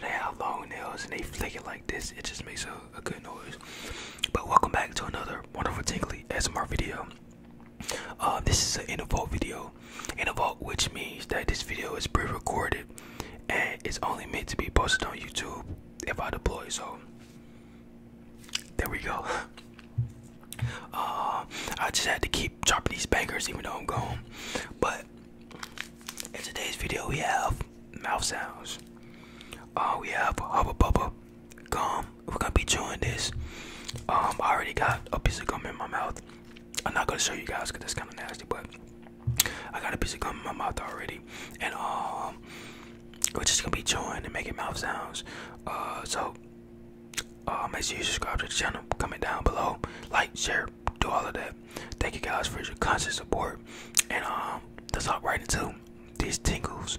they have long nails and they flick it like this. It just makes a, good noise. But welcome back to another wonderful tingly SMR video. Uh, this is an interval video. Interval, which means that this video is pre-recorded and it's only meant to be posted on YouTube if I deploy. So there we go. Uh, I just had to keep dropping these bangers even though I'm gone. But in today's video, we have mouth sounds. Uh, we have Hubba bubble, gum. We're gonna be chewing this. Um, I already got a piece of gum in my mouth. I'm not gonna show you guys because it's kind of nasty, but I got a piece of gum in my mouth already, and um, we're just gonna be chewing and making mouth sounds. Uh, so make um, sure you subscribe to the channel, comment down below, like, share, do all of that. Thank you guys for your constant support. And um, let's hop right into these tingles.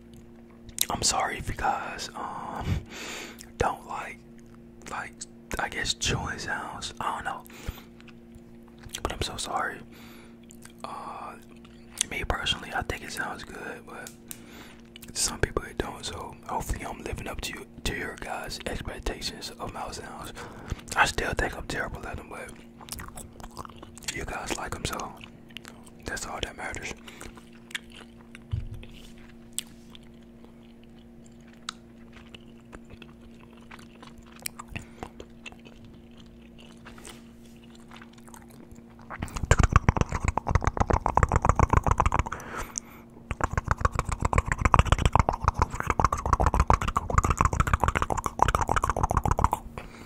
I'm sorry if you guys um don't like like I guess chewing sounds. I don't know. But I'm so sorry. Uh, me personally I think it sounds good but some people it don't so hopefully I'm living up to to your guys' expectations of my sounds. I still think I'm terrible at them but you guys like them, so that's all that matters.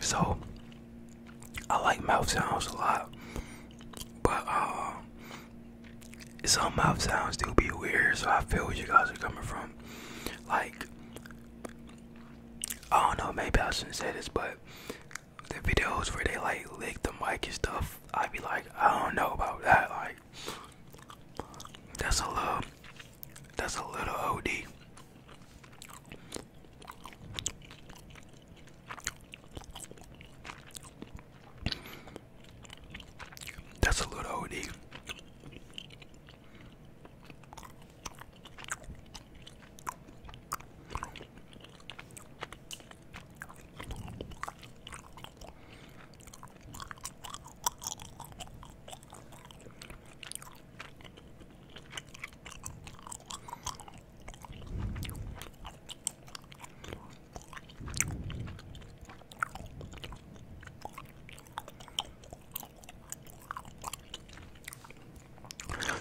So I like mouth sounds a lot, but uh, some mouth sounds do be weird. So I feel where you guys are coming from. Like I don't know, maybe I shouldn't say this, but the videos where they like lick the mic and stuff, I be like, I don't know about that. Like that's a little, that's a little OD. That's a little odd.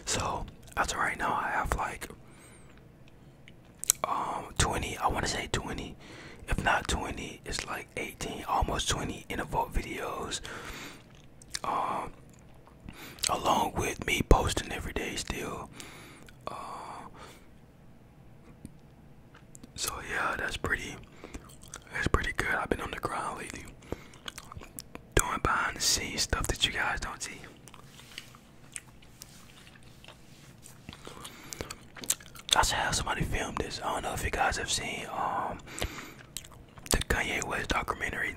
So as of right now, I have like um 20. I want to say 20. If not 20, it's like 18, almost 20 in the vote videos. Um, along with me posting every day still uh, so yeah that's pretty that's pretty good i've been on the ground lately doing behind the scenes stuff that you guys don't see I should have somebody filmed this. I don't know if you guys have seen um, the Kanye West documentary.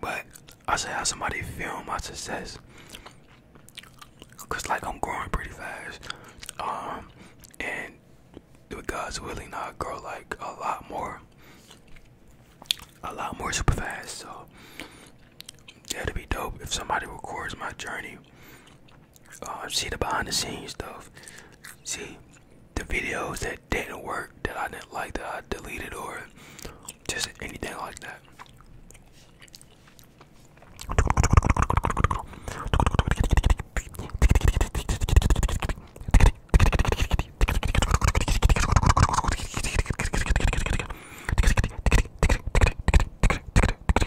But I say have somebody film my success. Cause like I'm growing pretty fast. Um, and with God's willing i grow like a lot more a lot more super fast. So that'd be dope if somebody records my journey uh, see the behind the scenes stuff, see the videos that didn't work, that I didn't like, that I deleted, or just anything like that.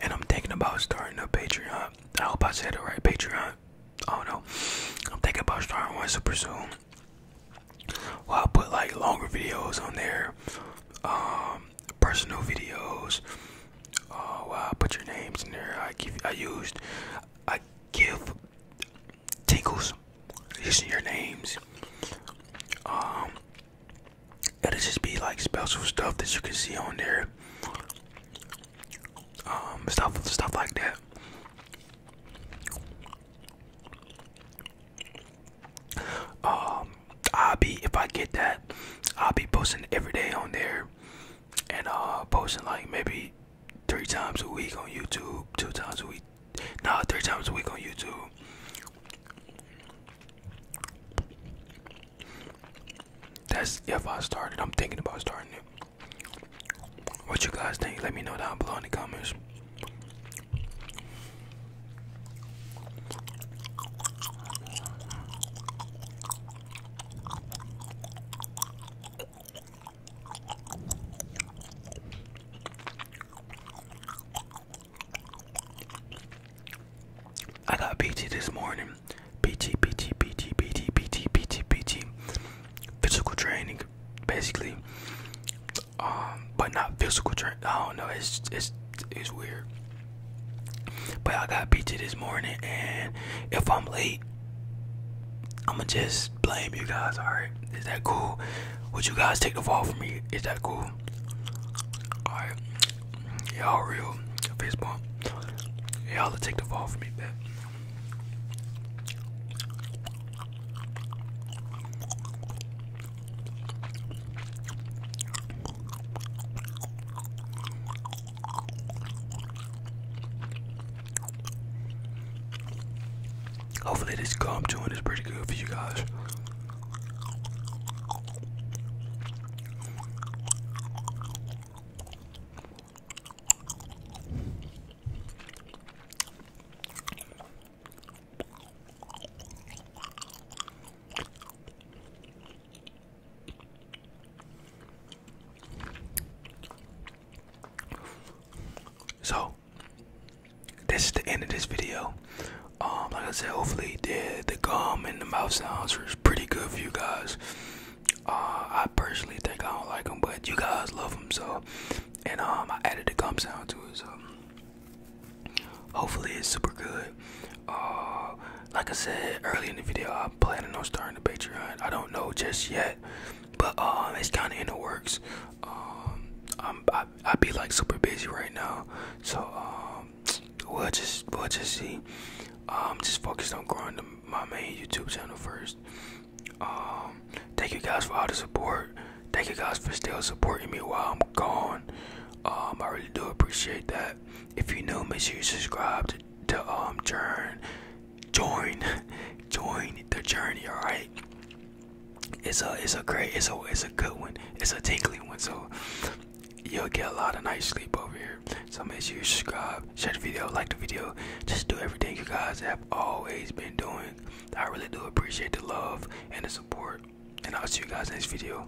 And I'm thinking about starting a Patreon. I hope I said it right, Patreon. Oh no, I'm thinking about starting one super soon. Well, I'll put like longer videos on there, um, personal videos. Oh, I'll put your names in there. I give, I used, I give tinkles, using your names. Um, it'll just be like special stuff that you can see on there. Um, stuff, stuff like that. Um, I'll be if I get that, I'll be posting every day on there, and uh, posting like maybe three times a week on YouTube, two times a week, no, three times a week on YouTube. That's if I started. I'm thinking about starting it. What you guys think? Let me know down below in the comments. I got PT this morning. PT, PT, PT, PT, PT, PT, PT. Physical training, basically. Um, but not physical training. I don't know. It's it's it's weird. But I got PT this morning, and if I'm late, I'ma just blame you guys, alright? Is that cool? Would you guys take the fall for me? Is that cool? Alright. Y'all real. baseball. bump. Y'all take the fall for me, man. Hopefully this gum i is pretty good for you guys. So this is the end of this video. Um, like I said, hopefully the the gum and the mouth sounds was pretty good for you guys. Uh, I personally think I don't like them, but you guys love them so. And um, I added the gum sound to it, so hopefully it's super good. Uh, like I said early in the video, I'm planning on starting a Patreon. I don't know just yet, but um, it's kind of in the works. Um, I'm I, be like super busy right now, so um, we'll just we'll just see. I'm just focused on growing my main YouTube channel first. thank you guys for all the support. Thank you guys for still supporting me while I'm gone. I really do appreciate that. If you're new, make sure you subscribe to to um join join the journey all right it's a it's a great it's a it's a good one it's a tingly one so you'll get a lot of night sleep over here so make sure you subscribe share the video like the video just do everything you guys have always been doing i really do appreciate the love and the support and i'll see you guys next video